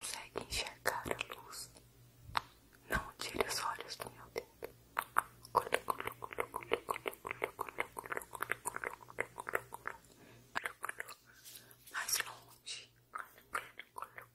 consegue enxergar a luz. Não tire os olhos do meu dedo. Mais longe. Perto.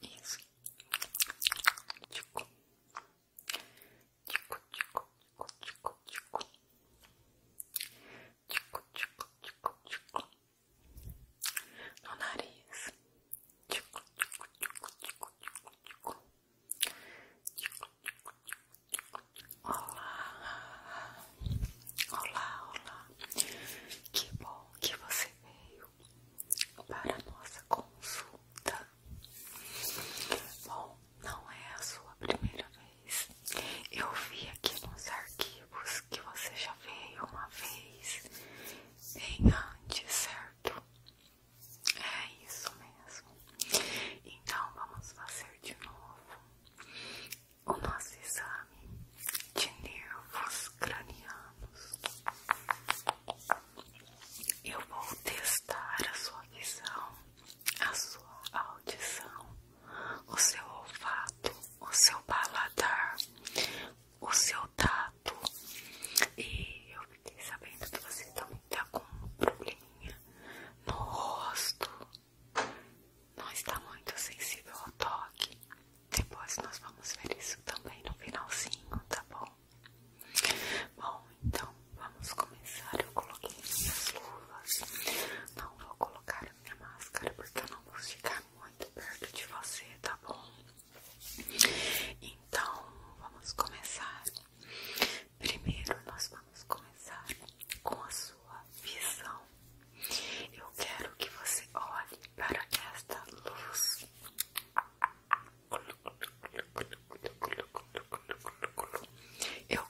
Isso. Tico. Tico, tico, tico, tico, tico. Tico, tico, tico, tico. No nariz. Tico, tico, tico, tico, tico, tico. Tico, tico, tico, tico. Olá. Olá, olá. Que bom que você veio para nossa consulta. Bom, não é a sua primeira vez. Eu vi aqui nos arquivos que você já veio uma vez bem antes, certo? É isso mesmo. Então vamos fazer de novo o nosso exame de nervos cranianos. Eu vou testar a sua visão, a sua audição, o seu olfato, o seu paladar, o seu tato. E eu fiquei sabendo que você também tá com um probleminha no rosto. Não está muito sensível ao toque. Depois nós vamos ver isso também no finalzinho, tá bom? Bom, então vamos começar. Eu coloquei minhas luvas. Não vou colocar minha máscara porque eu não vou ficar muito perto de você, tá bom? Então vamos começar. Primeiro nós vamos começar com a sua visão eu quero que você olhe para esta luz. Eu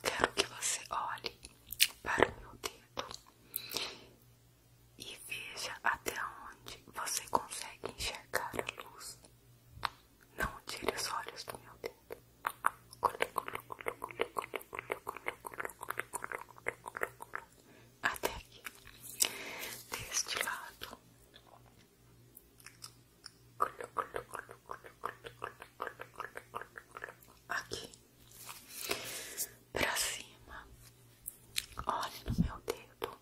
quero que você olhe para o meu dedo e veja até onde você consegue enxergar a luz. Não tire os olhos do meu dedo até aqui. Deste lado. Aqui. Pra cima. olhe no meu dedo.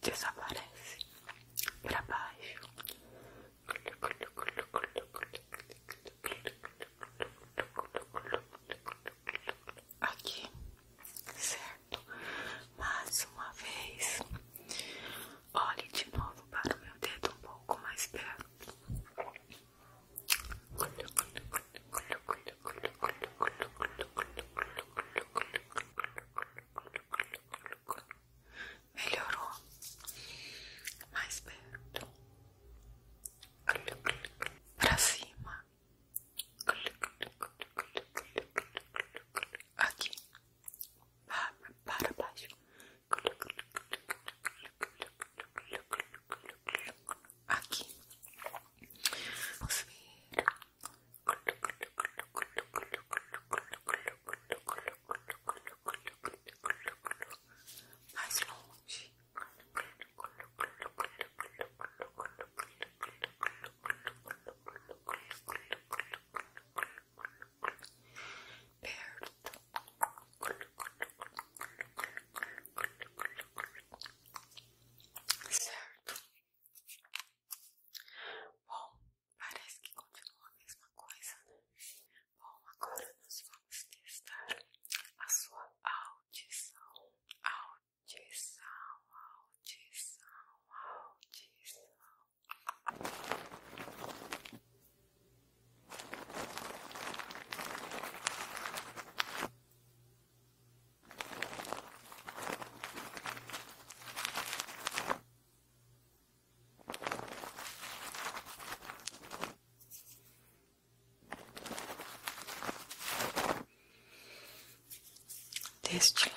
Desaparece para baixo, Aqui, certo? Mais uma vez, olhe de novo para o meu dedo um pouco mais perto melhorou mais perto para cima aqui para baixo aqui vamos ver Aqui, mais longe. Perto. Certo. Bom, Parece que continua a mesma coisa, né? Bom, agora nós vamos testar a sua audição. Audição, audição, audição deste lado.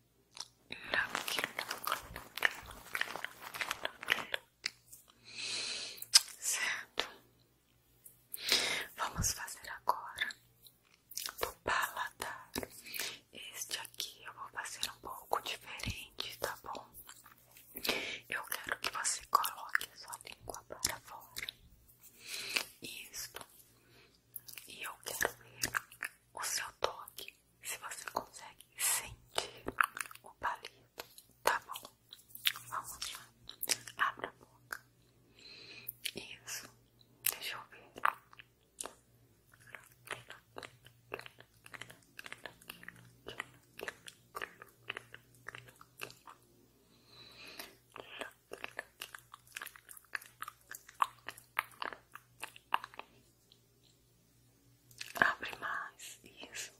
Certo, vamos fazer agora do paladar. Este aqui eu vou fazer um pouco diferente, tá bom? Eu quero que você coloque sua língua para fora. Isso. E eu quero ver o seu toque se você consegue sentir o palito, tá bom? Vamos lá, abre a boca. Isso, deixa eu ver. Abre mais, isso.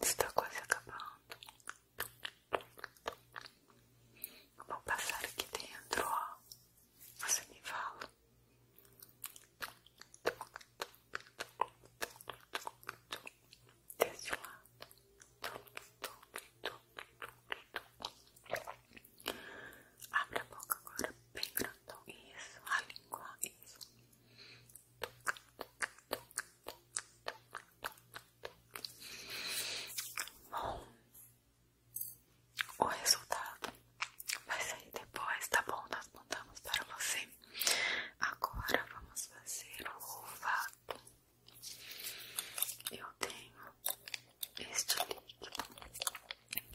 Está quase acabando. Vou passar aqui dentro, ó. Você me fala. Desse lado. Abre a boca agora, bem grandão. Isso, a língua, isso. Bom, o resultado vai sair depois, tá bom? Nós montamos para você. Agora vamos fazer o ovato. Eu tenho este líquido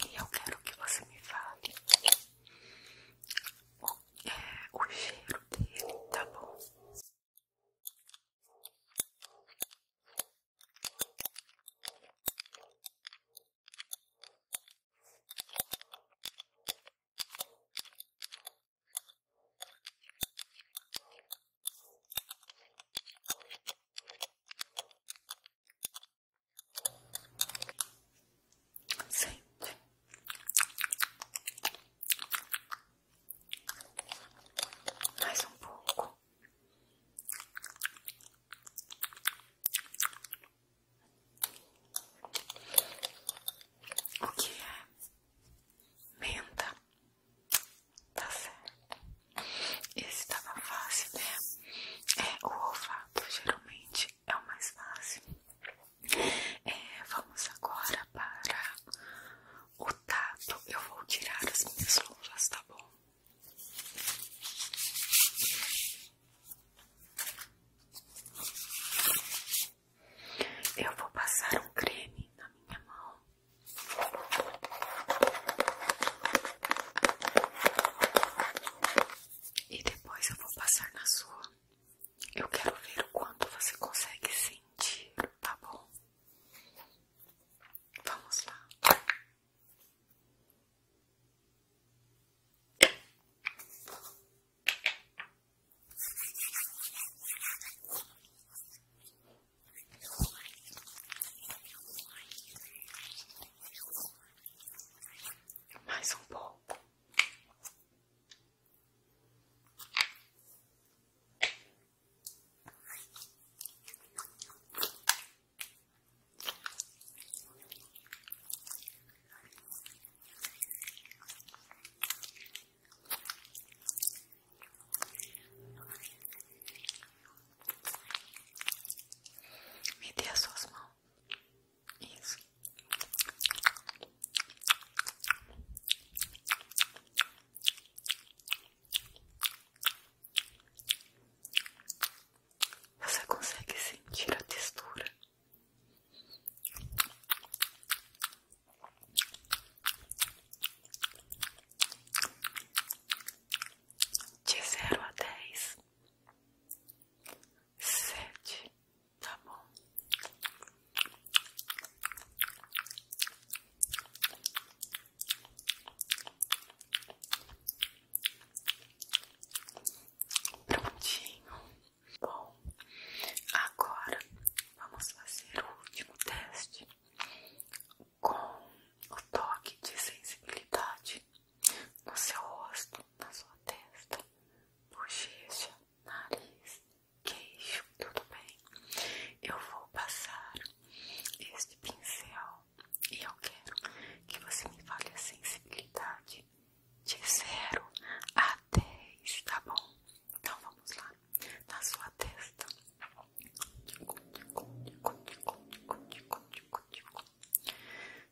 e eu quero que você me fale o é, o cheiro dele, tá bom? sempre. Mais um pouco. O que é menta? Tá certo. Esse tava fácil, né? É o olfato, geralmente é o mais fácil. É, vamos agora para o tato. Eu vou tirar as minhas luvas, tá bom? Eu vou passar um creme na minha mão. E depois eu vou passar na sua. Eu quero ver o quanto você consegue sentir, tá bom? Vamos lá. Mais um pouco. Me dê as suas isso. Você consegue sentir a textura? De zero a dez, sete, tá bom? Prontinho. Bom, agora vamos fazer o último teste com o toque de sensibilidade no seu rosto, na sua testa, bochecha, nariz, queixo, tudo bem? Eu vou passar este pincel e eu quero que você me fale a sensibilidade de 0 a 10, tá bom? Então vamos lá, na sua testa.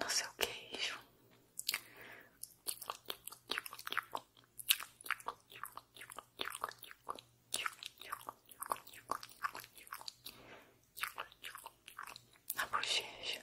no seu queijo. Na bochecha,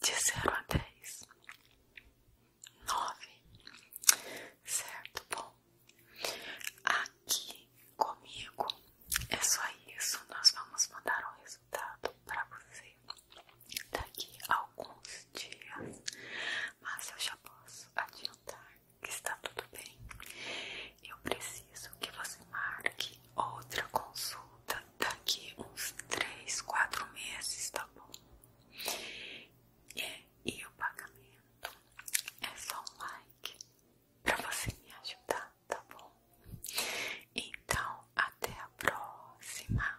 de 0 a 10, 9, certo? Bom, aqui comigo é só isso. Nós vamos mandar o um resultado para você daqui a alguns dias, mas eu já posso adiantar que está tudo bem. Eu preciso que você marque outra consulta daqui uns 3, 4 meses, tá bom? e o pagamento é só um like para você me ajudar, tá bom? Então, até a próxima.